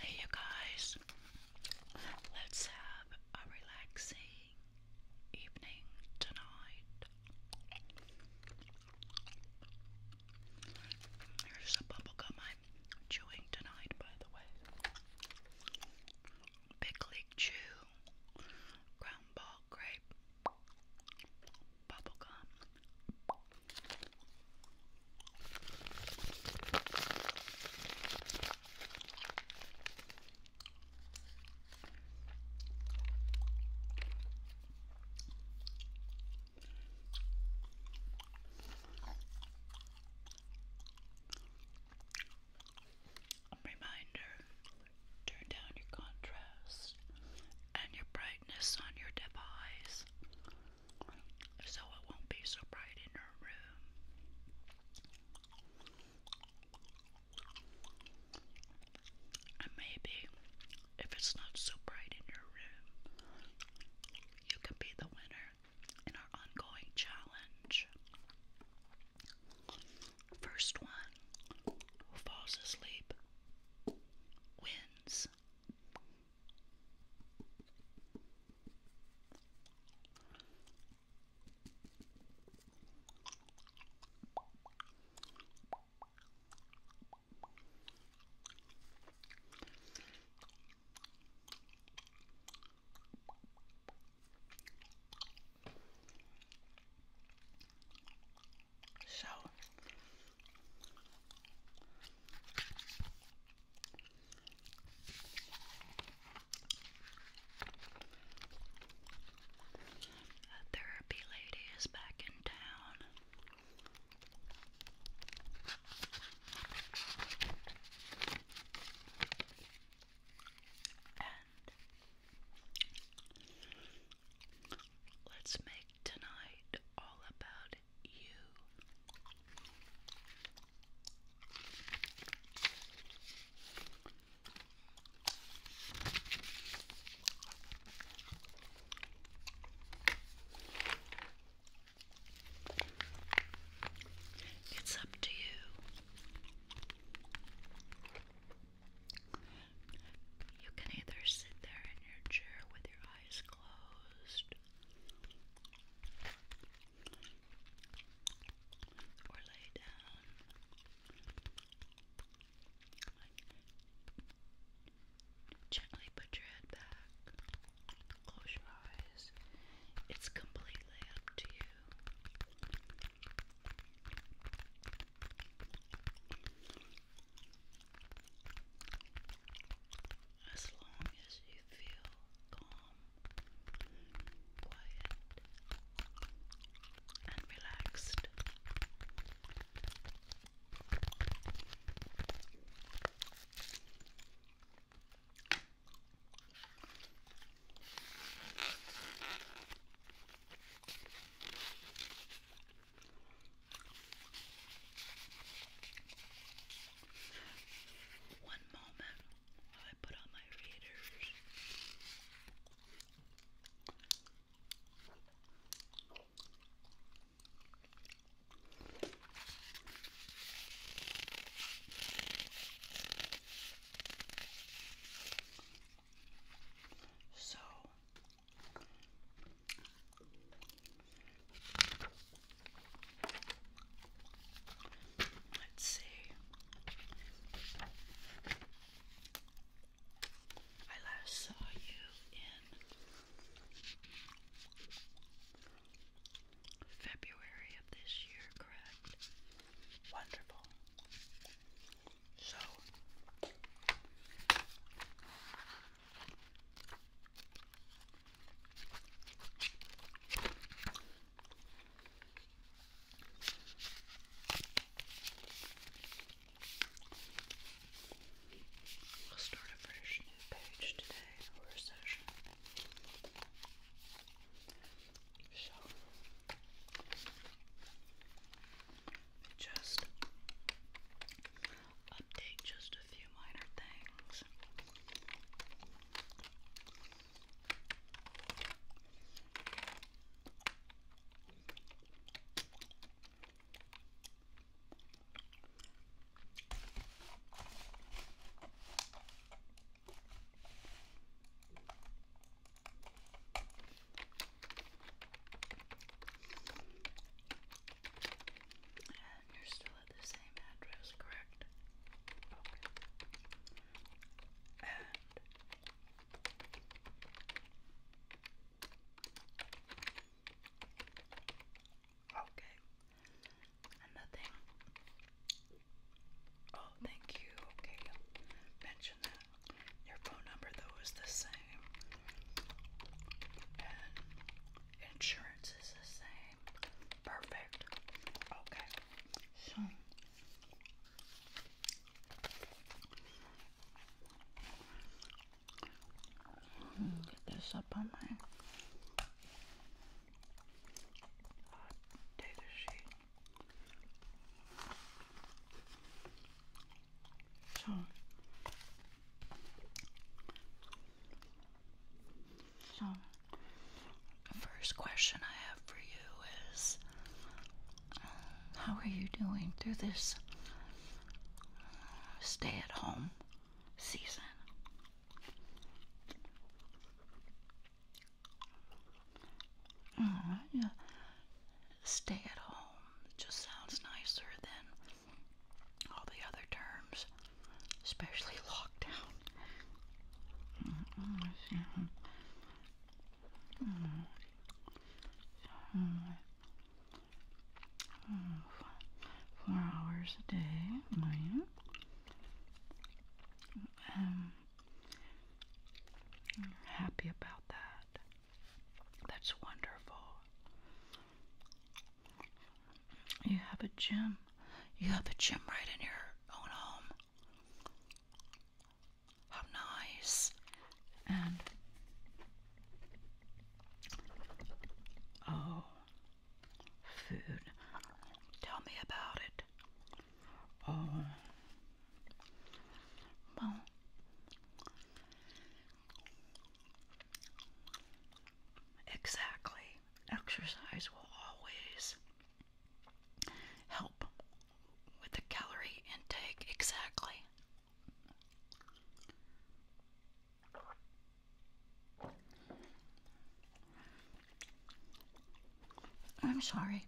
Hey, you guys, let's have a relaxing evening tonight. Here's a bubblegum I'm chewing tonight, by the way. Big League Chew ground ball grape, bubblegum. Reminder turn down your contrast and your brightness on your device so it won't be so bright in your room. And maybe if it's not so bright in your room, you can be the winner in our ongoing challenge. First one who falls asleep wins. So a therapy lady is back in town. And let's make tonight all about you. It's up to you. You can either sit there in your chair with your eyes closed or lay down. Gently put your head back. Close your eyes. It's completely up to you. As long as you feel calm, quiet, and relaxed. One moment while I put on my readers. So let's see. I last saw you in February of this year, correct? Wonderful. So, start a fresh new page today or session. So just update just a few minor things. And you're still at the same address, correct? Okay. Okay and Oh, thank you. Okay, mention that. Your phone number though is the same, and insurance is the same. Perfect. Okay. So. Get this up on my so, so the first question I have for you is, how are you doing through this stay-at-home season? Stay at home just sounds nicer than all the other terms, especially lockdown. Mm-hmm. Mm-hmm. Mm-hmm. four hours a day. Um, i happy about that. That's wonderful. You have a gym. You have a gym right in your own home. How nice. And oh, food. Tell me about it. Oh, well, exactly. Exercise will always help with the calorie intake. Exactly. I'm sorry.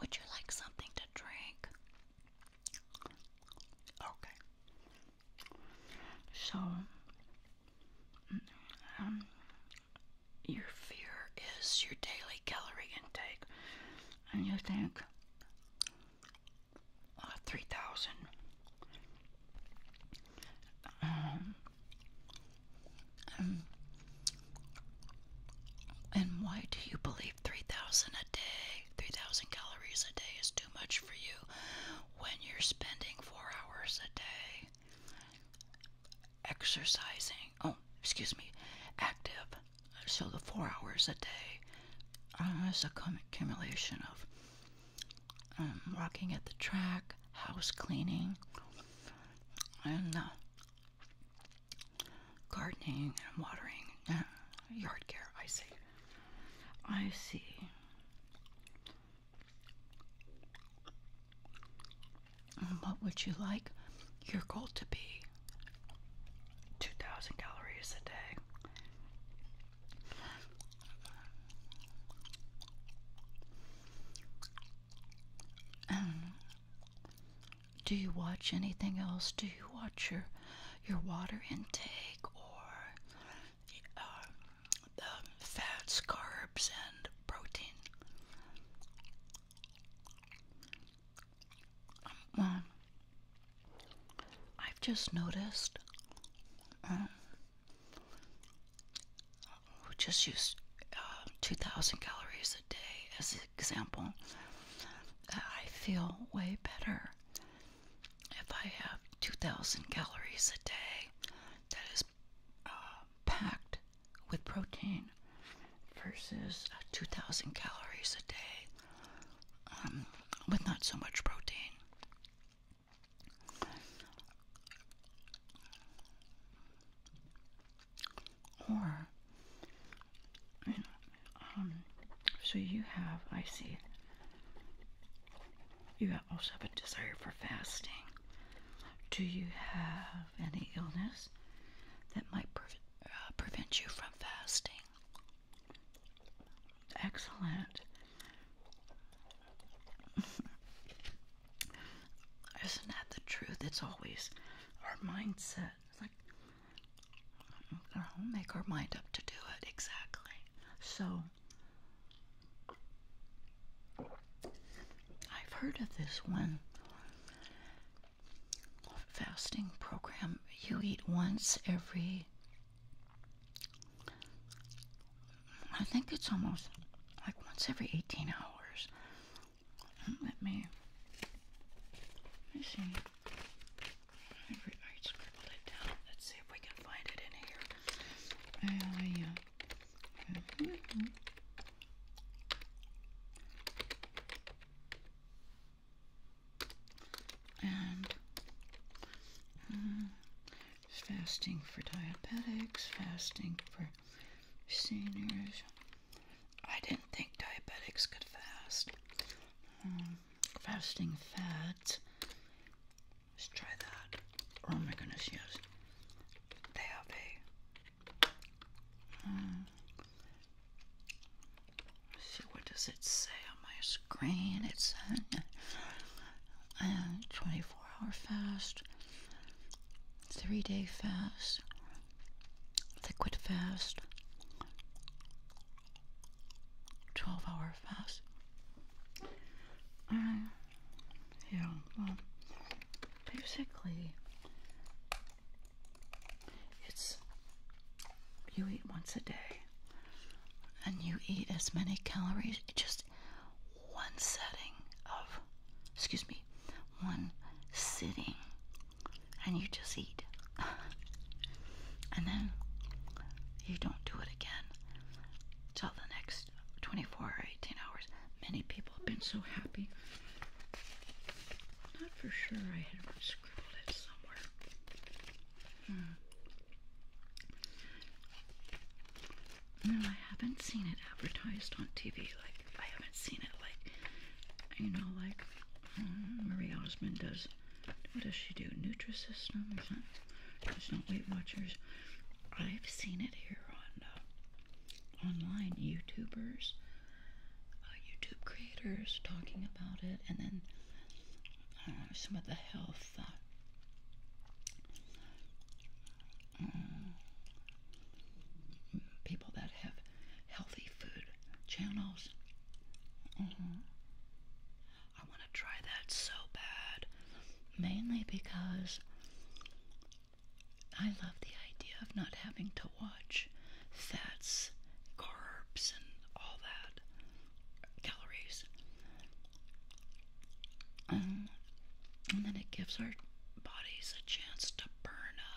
Would you like something to drink? Okay. So, um, your fear is your daily calorie intake, and you think uh, 3,000. Um, um, and why do you believe 3,000 a day, 3,000 calories a day is too much for you when you're spending four hours a day exercising? Oh, excuse me, active. So the four hours a day uh, is a cumulation of I'm um, walking at the track, house cleaning, and uh, gardening and watering, uh, yard care. I see. I see. what would you like your goal to be? 2,000 calories a day. Um, do you watch anything else? Do you watch your your water intake or uh, the fats, carbs, and protein? Well, um, uh, I've just noticed. Uh, we just use uh, 2,000 calories a day as an example, uh, I feel way better if I have 2,000 calories a day that is uh, packed with protein versus 2,000 calories a day um, with not so much protein. Or, um, so you have, I see, you also have a desire for fasting. Do you have any illness that might pre uh, prevent you from fasting? Excellent. Isn't that the truth? It's always our mindset. It's like we make our mind up to do it exactly. So I've heard of this one fasting program. You eat once every I think it's almost like once every 18 hours. Hmm, let me, let me see. I scribbled it down. Let's see if we can find it in here. Uh, yeah. Mm-hmm. And hmm, fasting for diabetics, fasting for seniors. I didn't think diabetics could fast. Um, fasting fat. Let's try that. Oh my goodness, yes. They uh, see, what does it say on my screen. It's a, 24 hour fast, three day fast, liquid fast, 12 hour fast. Uh, yeah, well, basically, it's you eat once a day and you eat as many calories, just one setting of, excuse me, one sitting, and you just eat. and then you don't do it again till the next 24 or 18 hours. Many people have been so happy. Not for sure I had scribbled it somewhere. Hmm. No, I haven't seen it advertised on TV. Like, I haven't seen it, like, you know, like hmm, Marie Osmond does. What does she do? Nutrisystem? Is not Weight Watchers. I've seen it here on uh, online YouTubers, uh, YouTube creators talking about it, and then uh, some of the health Mm, people that have healthy food channels. Mm-hmm. I want to try that so bad, mainly because I love the idea of not having to watch fats, carbs, and all that, calories. Um, and then it gives our bodies a chance to burn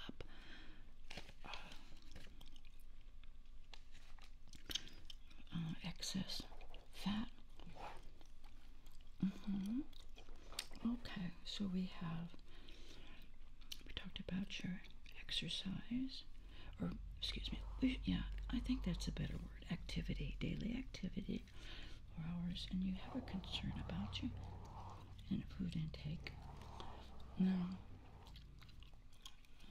up. Uh, excess fat. Mm-hmm. Okay, so we have we talked about your exercise or excuse me, yeah, I think that's a better word activity, daily activity, or hours, and you have a concern about you and food intake. No.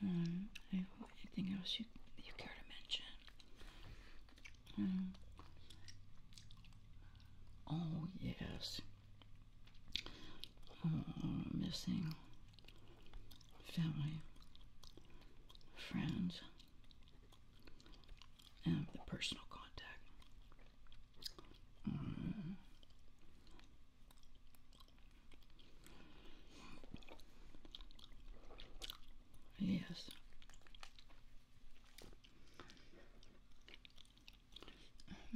um, anything else you, you care to mention? Um, oh, yes. Oh, missing family, friends, and the personal contact. Mm. Yes.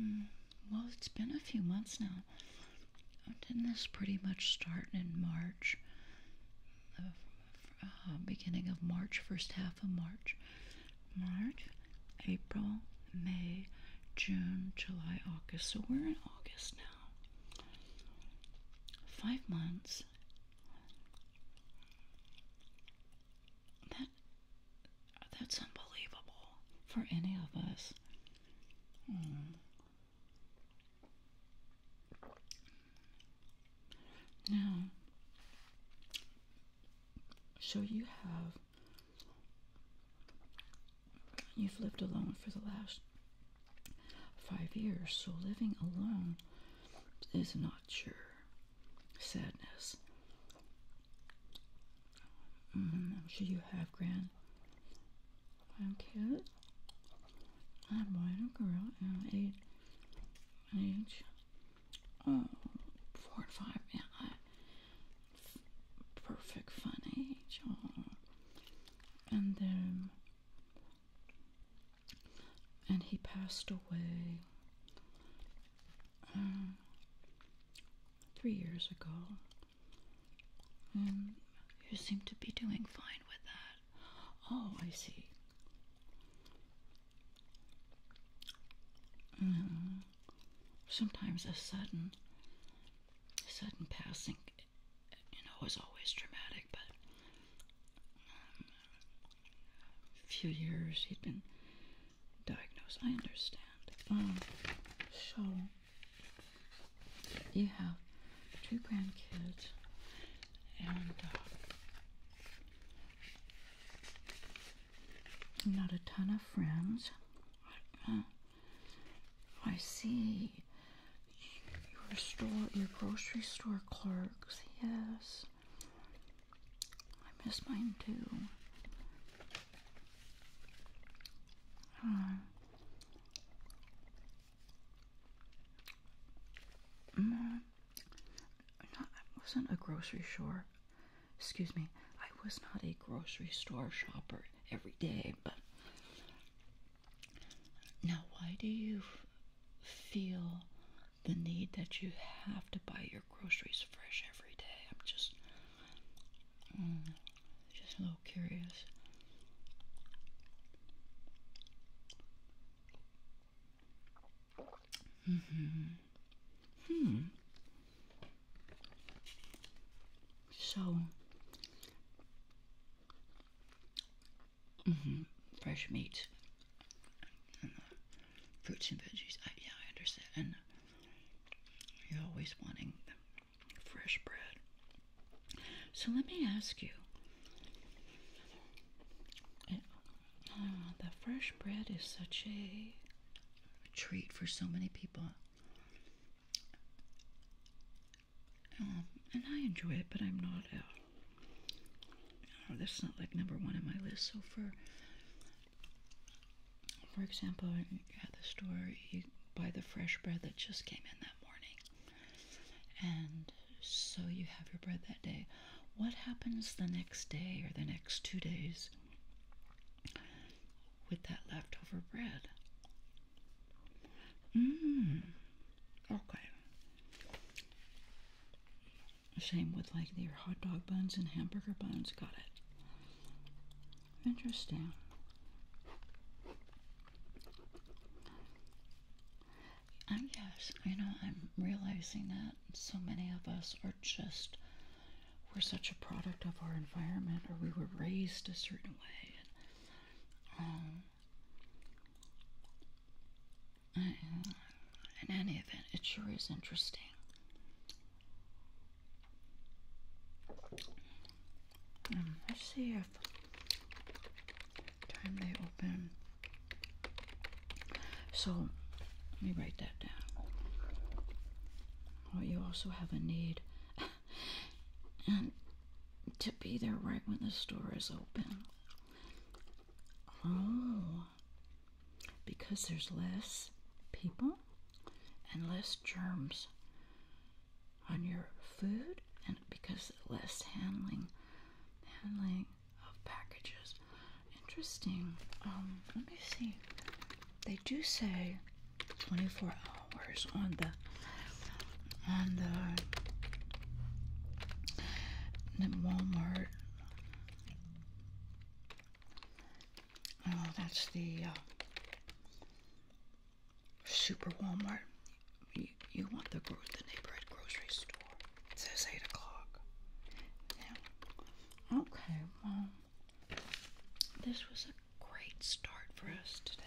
Mm, well, it's been a few months now didn't this pretty much start in March? Uh, uh, beginning of March, first half of March. March, April, May, June, July, August. So we're in August now. Five months. That that's unbelievable for any of us. Hmm. Now, so you have, you've lived alone for the last five years, so living alone is not your sadness. I'm mm, sure you have grand I'm cute. I'm a boy and a girl, and I'm age, age oh, four and five. Yeah, perfect fun age. Oh. And then, and he passed away uh, three years ago. Mm, you seem to be doing fine with that. Oh, I see. Mm. sometimes a sudden, sudden passing, you know, is always dramatic. But um, a few years he'd been diagnosed. I understand. Um, so you have two grandkids and uh, not a ton of friends. Uh, I see your store, your grocery store clerks. Yes, I miss mine too. Uh, Mm, I wasn't a grocery store. Excuse me. I was not a grocery store shopper every day, but now why do you feel the need that you have to buy your groceries fresh every day? I'm just Mm. just a little curious. hmm. Hmm. So. hmm. Fresh meat. And uh, fruits and veggies. yeah, I understand. Uh, you're always wanting them fresh bread. So let me ask you it, eh, ah, the fresh bread is such a treat for so many people. Um, and I enjoy it, but I'm not out. Uh, that's not like number one on my list. So for for example, at the store, you buy the fresh bread that just came in that and so you have your bread that day. What happens the next day or the next two days with that leftover bread? Mmm. Okay. Same with like your hot dog buns and hamburger buns. Got it. Interesting. I guess, you know, I'm realizing that so many of us are just, we're such a product of our environment or we were raised a certain way. And, um, uh, in any event, it sure is interesting. Um, let's see if time they open. So let me write that down. Well, you also have a need and to be there right when the store is open. Oh, because there's less people and less germs on your food and because less handling handling of packages. Interesting. Um, let me see. They do say 24 hours on the on the, the Walmart. Oh, that's the uh, Super Walmart. You, want the, neighborhood grocery store. It says 8 o'clock. Yeah. Okay, well, this was a great start for us today.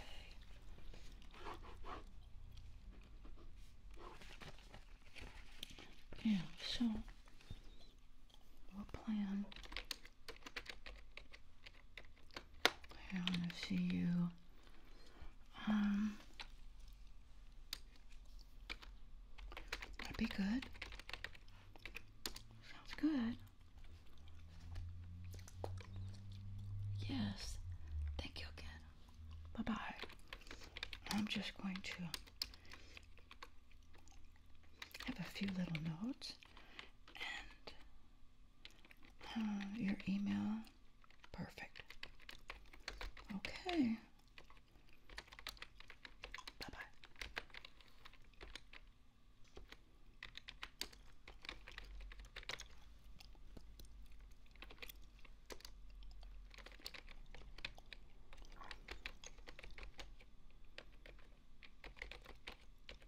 Yeah, so we'll plan I want to see you. Um, that'd be good. Sounds good. Yes. Thank you again. Bye bye. I'm just going to have a few little notes and uh, your email. Perfect. Okay. Bye bye.